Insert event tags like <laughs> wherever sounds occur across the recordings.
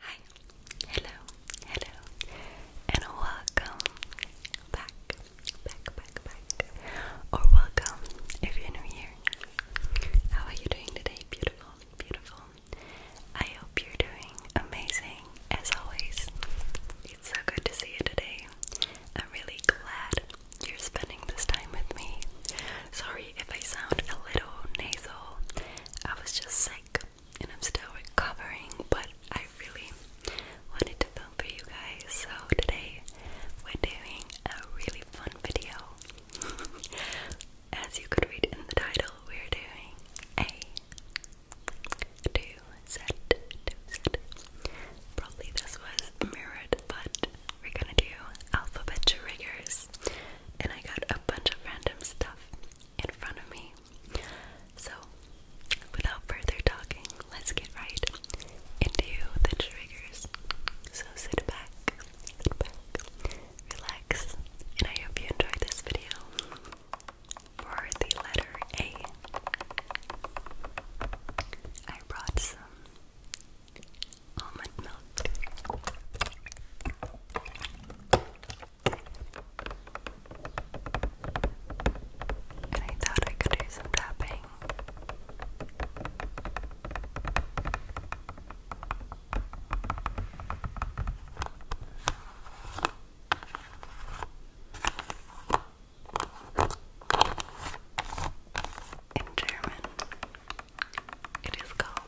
Hi, hello, hello, and welcome back, back, back, back, or welcome if you're new here. How are you doing today? Beautiful, beautiful. I hope you're doing amazing as always. It's so good to see you today. I'm really glad you're spending this time with me. Sorry if I sound a little nasal, I was just sick and I'm still recovering, but I really wanted to film for you guys. So today we're doing a really fun video. <laughs> As you could read in the title, we're doing a two set, Probably this was mirrored, but we're gonna do alphabet triggers. And I got a bunch of random stuff in front of me. So, without further talking, let's get right into the triggers. So, sit back, sit back, relax, and I hope you enjoyed this video. For the letter A, I brought some almond milk. And I thought I could do some tapping. In German, it is called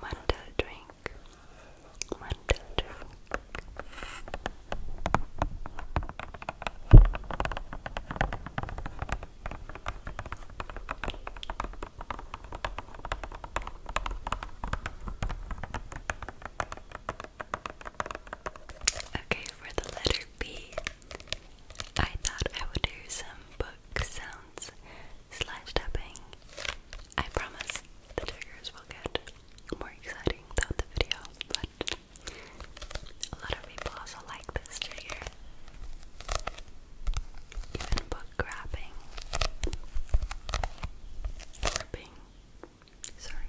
Mandel drink. Mandel drink. Okay, for the letter B, I thought I would do some book sounds slash tapping. I promise the triggers will get more exciting throughout the video, but a lot of people also like this trigger. Even book grabbing, ripping. Sorry.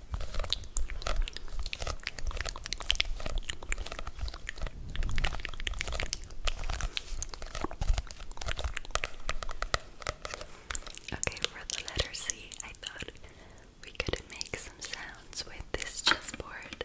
Okay, for the letter C, I thought we could make some sounds with this chessboard.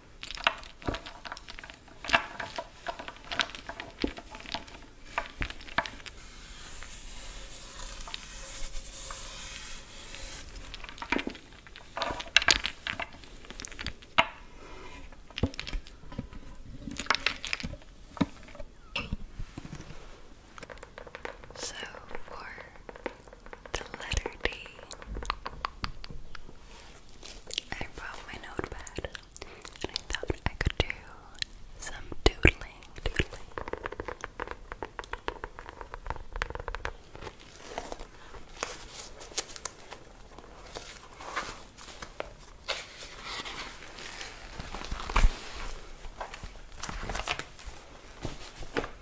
So, for the letter D. I brought my notepad and I thought I could do some doodling.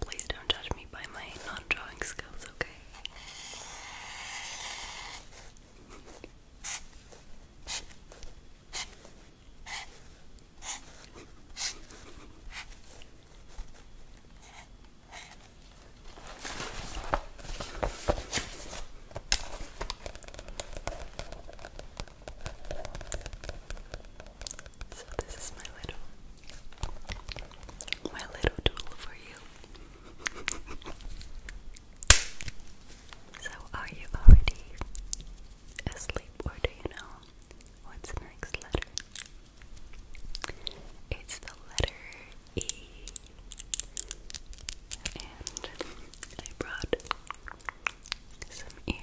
Please don't judge me by my non drawing skills, okay? So, this is my little my little doodle for you. so, are you already asleep, or do you know what's next letter? It's the letter E. And I brought some earrings.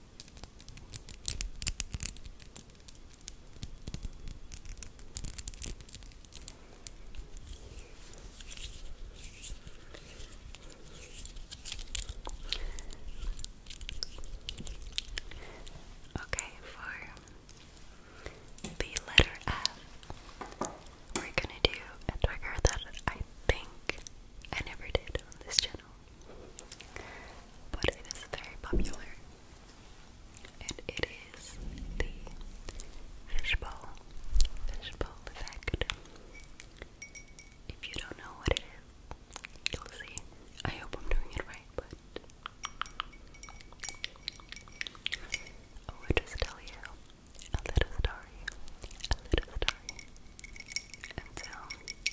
Okay, for the letter F, we're gonna do a trigger that I think I never did on this channel but it is very popular, and it is the fishbowl, fishbowl effect. If you don't know what it is, you'll see. I hope I'm doing it right, but I will just tell you a little story, a little story, and Adele. you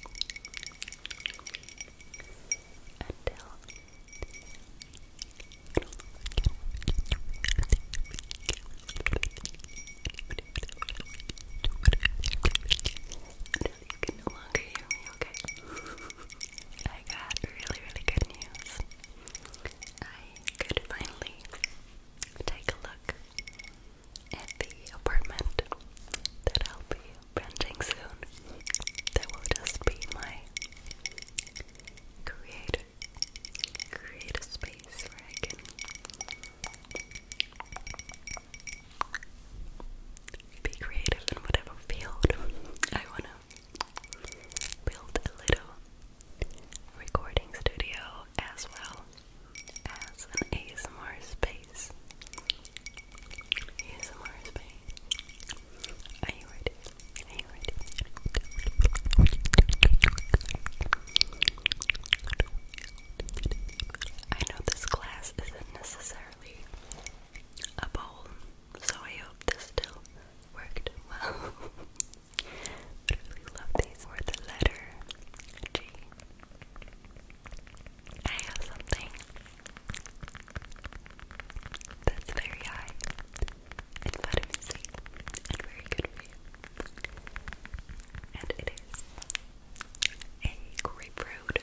can no longer hear me, okay? I got really, really good news. I could finally take a look at the apartment that I'll be branding soon. That will just be my creator create space where I can be creative in whatever field I wanna build a little recording studio as well as an ASMR space space. Are you ready? Are you ready? I know this class isn't necessarily a bowl, so I hope this still worked well. <laughs> but I really love these for the letter G. I have something that's very high in vitamin C and very good for you. And it is a grapefruit.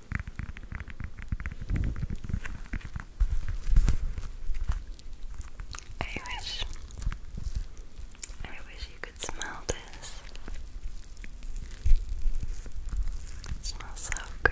I wish I wish you could smell this. It smells so good.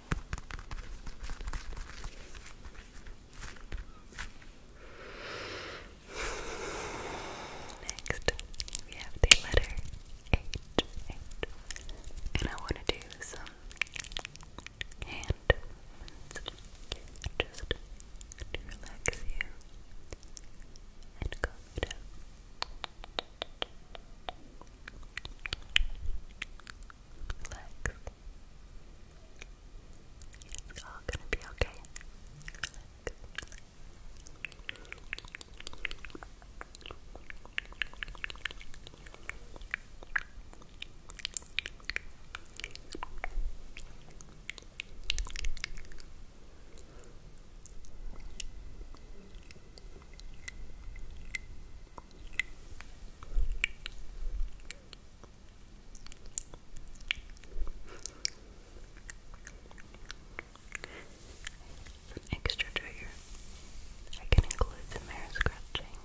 Next, we have the letter H, And I want to do some hand movements to relax you and calm you down. Relax. It's all gonna be okay. An extra trigger I can include some hair scratching.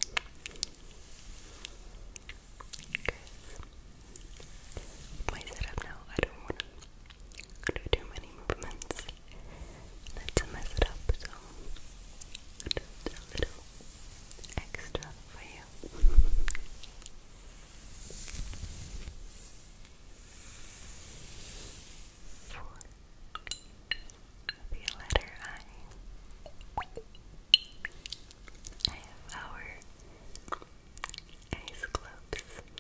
my setup now, I don't want to do too many movements. That's a mess it up, so just a little extra for you. Four. The letter I. I have our ice globes.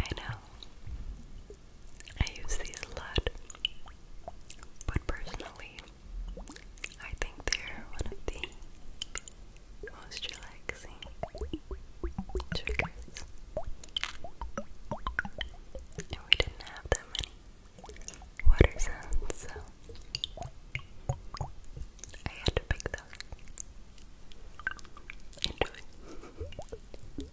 I know I use these a lot, but personally, I think they're one of the most relaxing triggers. And we didn't have that many water so I had to pick those. Enjoy.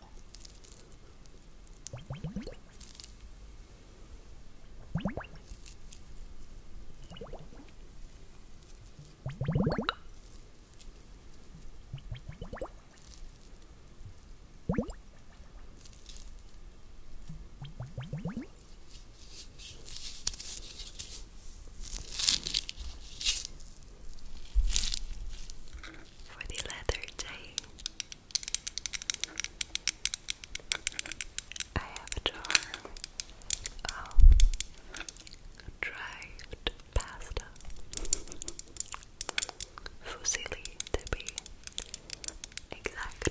For the leather tie, I have a jar of dried pasta, fusilli to be exact.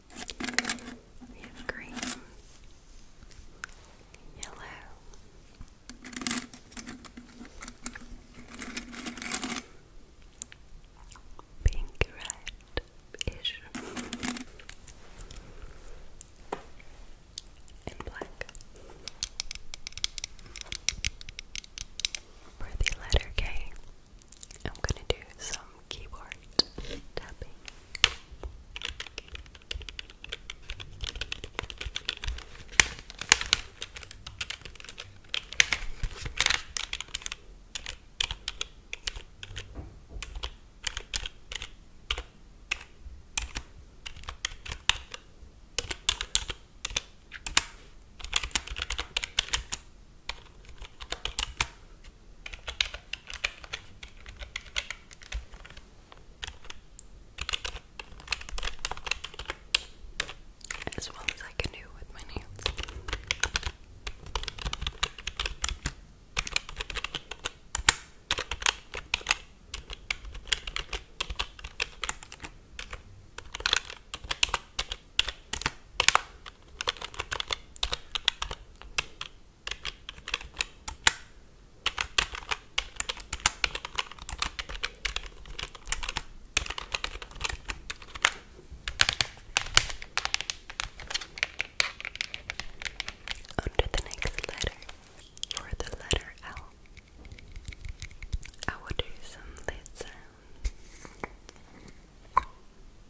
We have green, yellow, pink, red-ish, and black. For the letter K, I'm going to do some keyboard tapping as well as I can do with my nails. Under the next letter, for the letter L, I will do some lid sounds.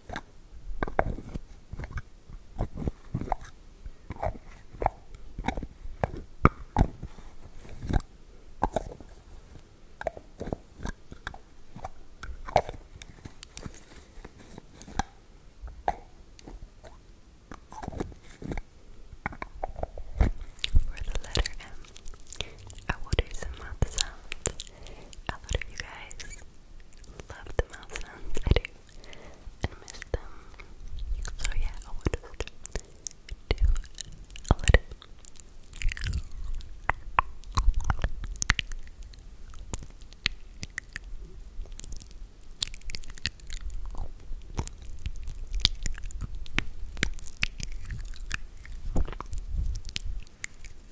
For the letter M, I will do some mouth sounds. A lot you guys love the mouth I do, and miss them. So yeah, I will just do a little.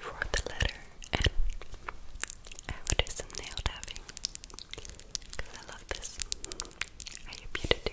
For the letter N, I would do nail tapping because I love this. I hope you do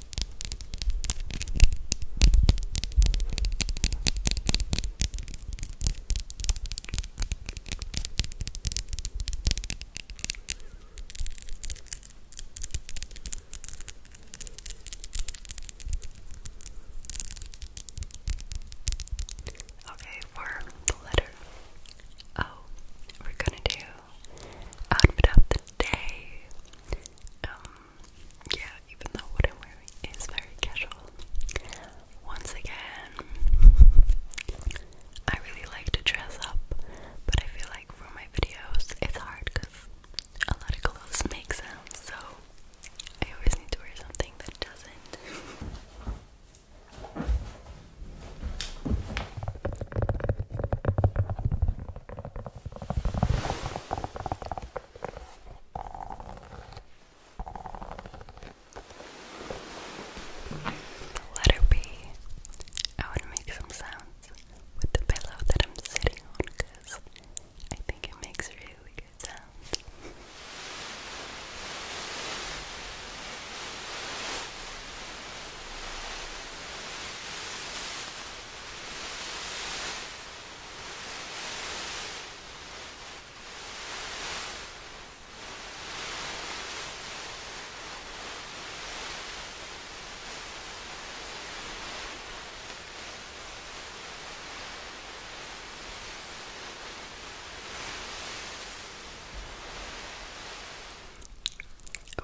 Okay, for the letter O, we're gonna do outfit of the day. Um, yeah, even though what I'm is very casual. Once again, I really like to dress up, but I feel like for my videos it's hard because a lot of clothes make sounds, so I always need to wear something that doesn't. Letter B. I want to make some sounds with the pillow that I'm sitting on because I think it makes really good sounds.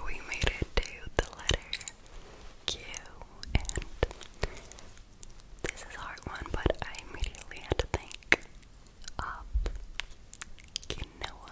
We made it to the letter you. And this is hard one, but I immediately had to think of quinoa.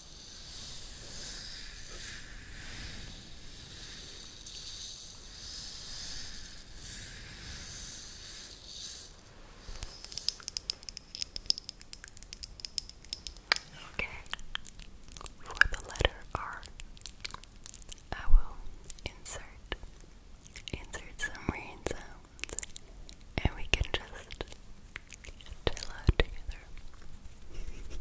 Okay, for the letter R, I will insert insert some rain and we can just chill out together. Thank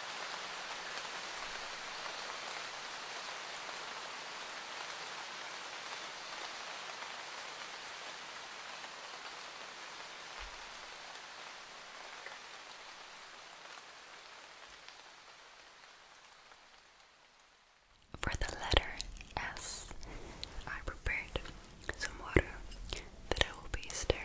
For the letter S, I prepared some water that I will be stirring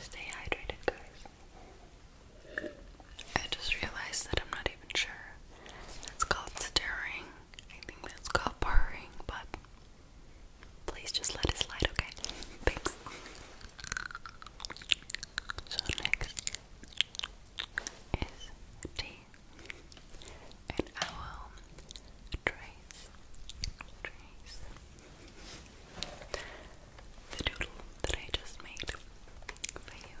Stay hydrated, guys. I just realized that I'm not even sure. That's called staring. I think that's called purring, but please just let it slide, okay? So next is tea and I will trace, trace the doodle that I just made for you.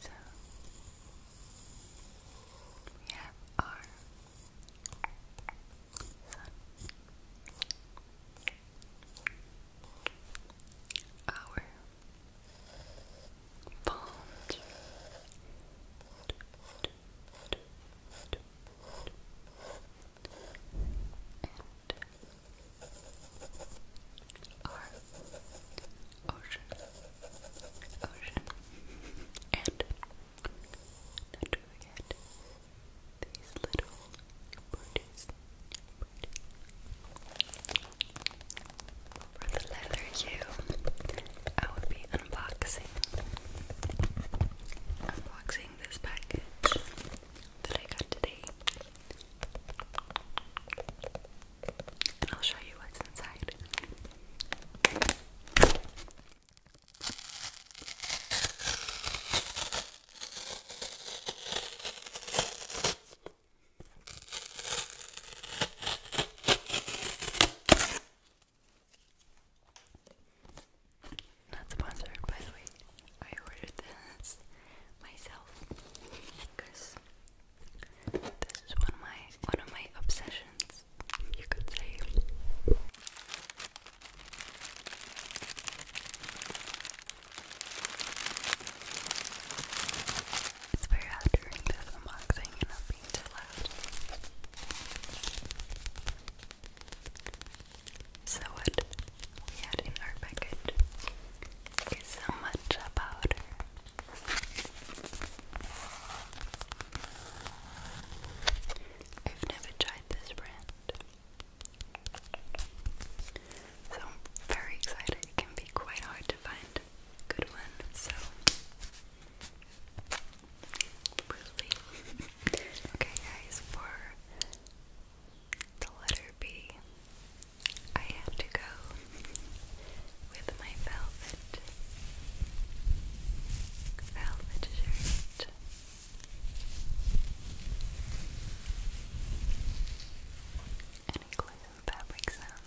So we have our sun, our palms, our ocean, ocean, and not forget these little birdies, For the letter U, I would be unboxing unboxing this package that I got today. And I'll show you what's inside. Not sponsored, by the way. I ordered this myself because this is one of my one of my obsessions, you could say. It's very hard during unboxing and being too so what we had in our package is some matcha powder. I've never tried this brand. So very excited. It can be quite hard to find good one, so Bruce <laughs> okay, guys, for the letter B, I had to go with my velvet, velvet shirt. Any glue fabric sounds.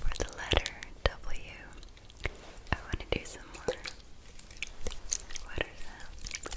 For the letter W, I want to do some more water sounds.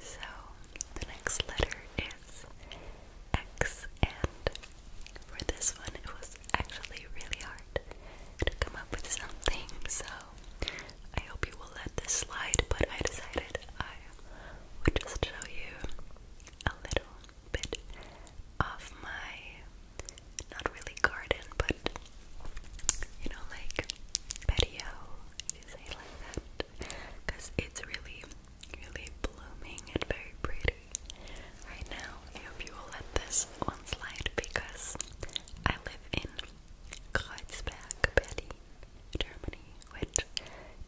So the next letter is X, and for this one, it was actually really hard to come up with something. So I hope you will let this slide, but I decided I would just show you a little bit of my not really garden, but you know, like patio, you say like that, because it's really, really blooming and very pretty right now. I hope you will let this one slide because I live in Kreuzberg, Berlin, Germany, which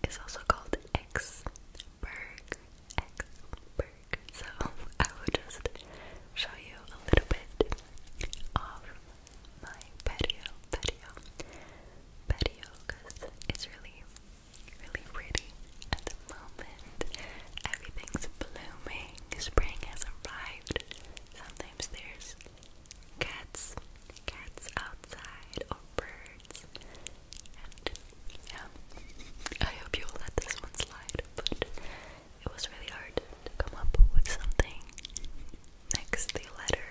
is also called Exberg. Exberg. So <laughs> I will just show you a little bit of my patio, patio, patio, because it's really, really pretty at the moment. Everything's blooming. Spring has arrived. Sometimes there's cats, cats outside, or birds. And yeah, I hope you'll let this one slide, it was really hard to come up with something. Next, the letter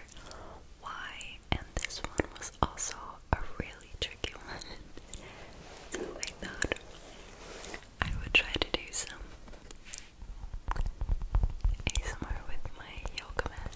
Y, and this one was also a really tricky <laughs> one. so I thought I would try to do some ASMR with my yoga mat.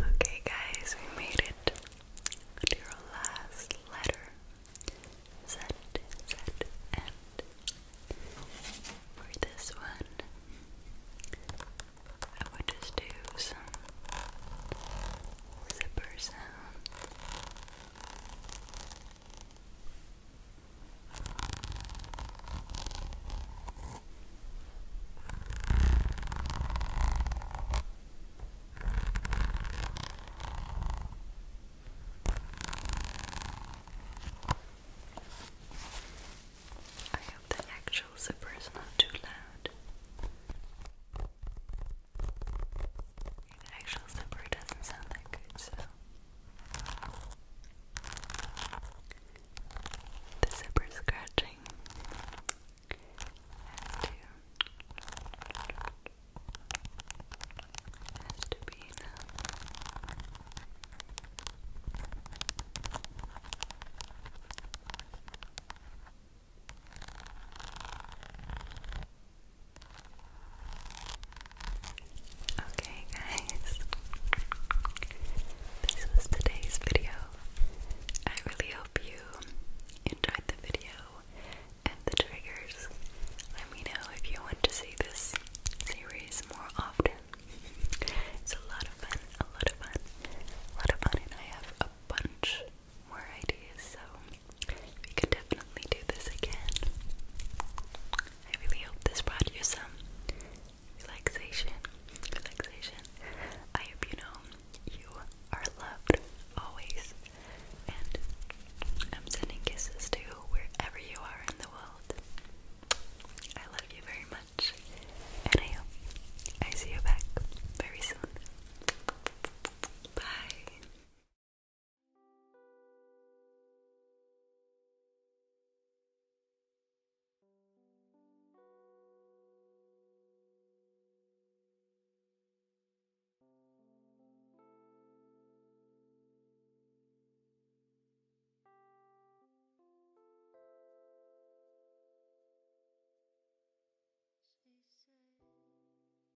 Okay, guys, we made it your last letter. Z, Z, and for this one, I would just do some zipper sounds. I hope the actual zipper is not too loud. An actual slipper doesn't sound that good, so. The zipper scratching has to, has to be enough. Okay, guys, this was today's video. I really hope you enjoyed the video and the triggers. Let me know if you want to see this series more often. it's a lot of fun, a lot of fun, a lot of fun, and I have a bunch more ideas, so we could definitely do this again. I really hope this brought you some relaxation. Relaxation. I hope you know you are loved always. And I'm sending kisses to wherever you are in the world. I love you very much. And I hope I see you back very soon. Bye. She said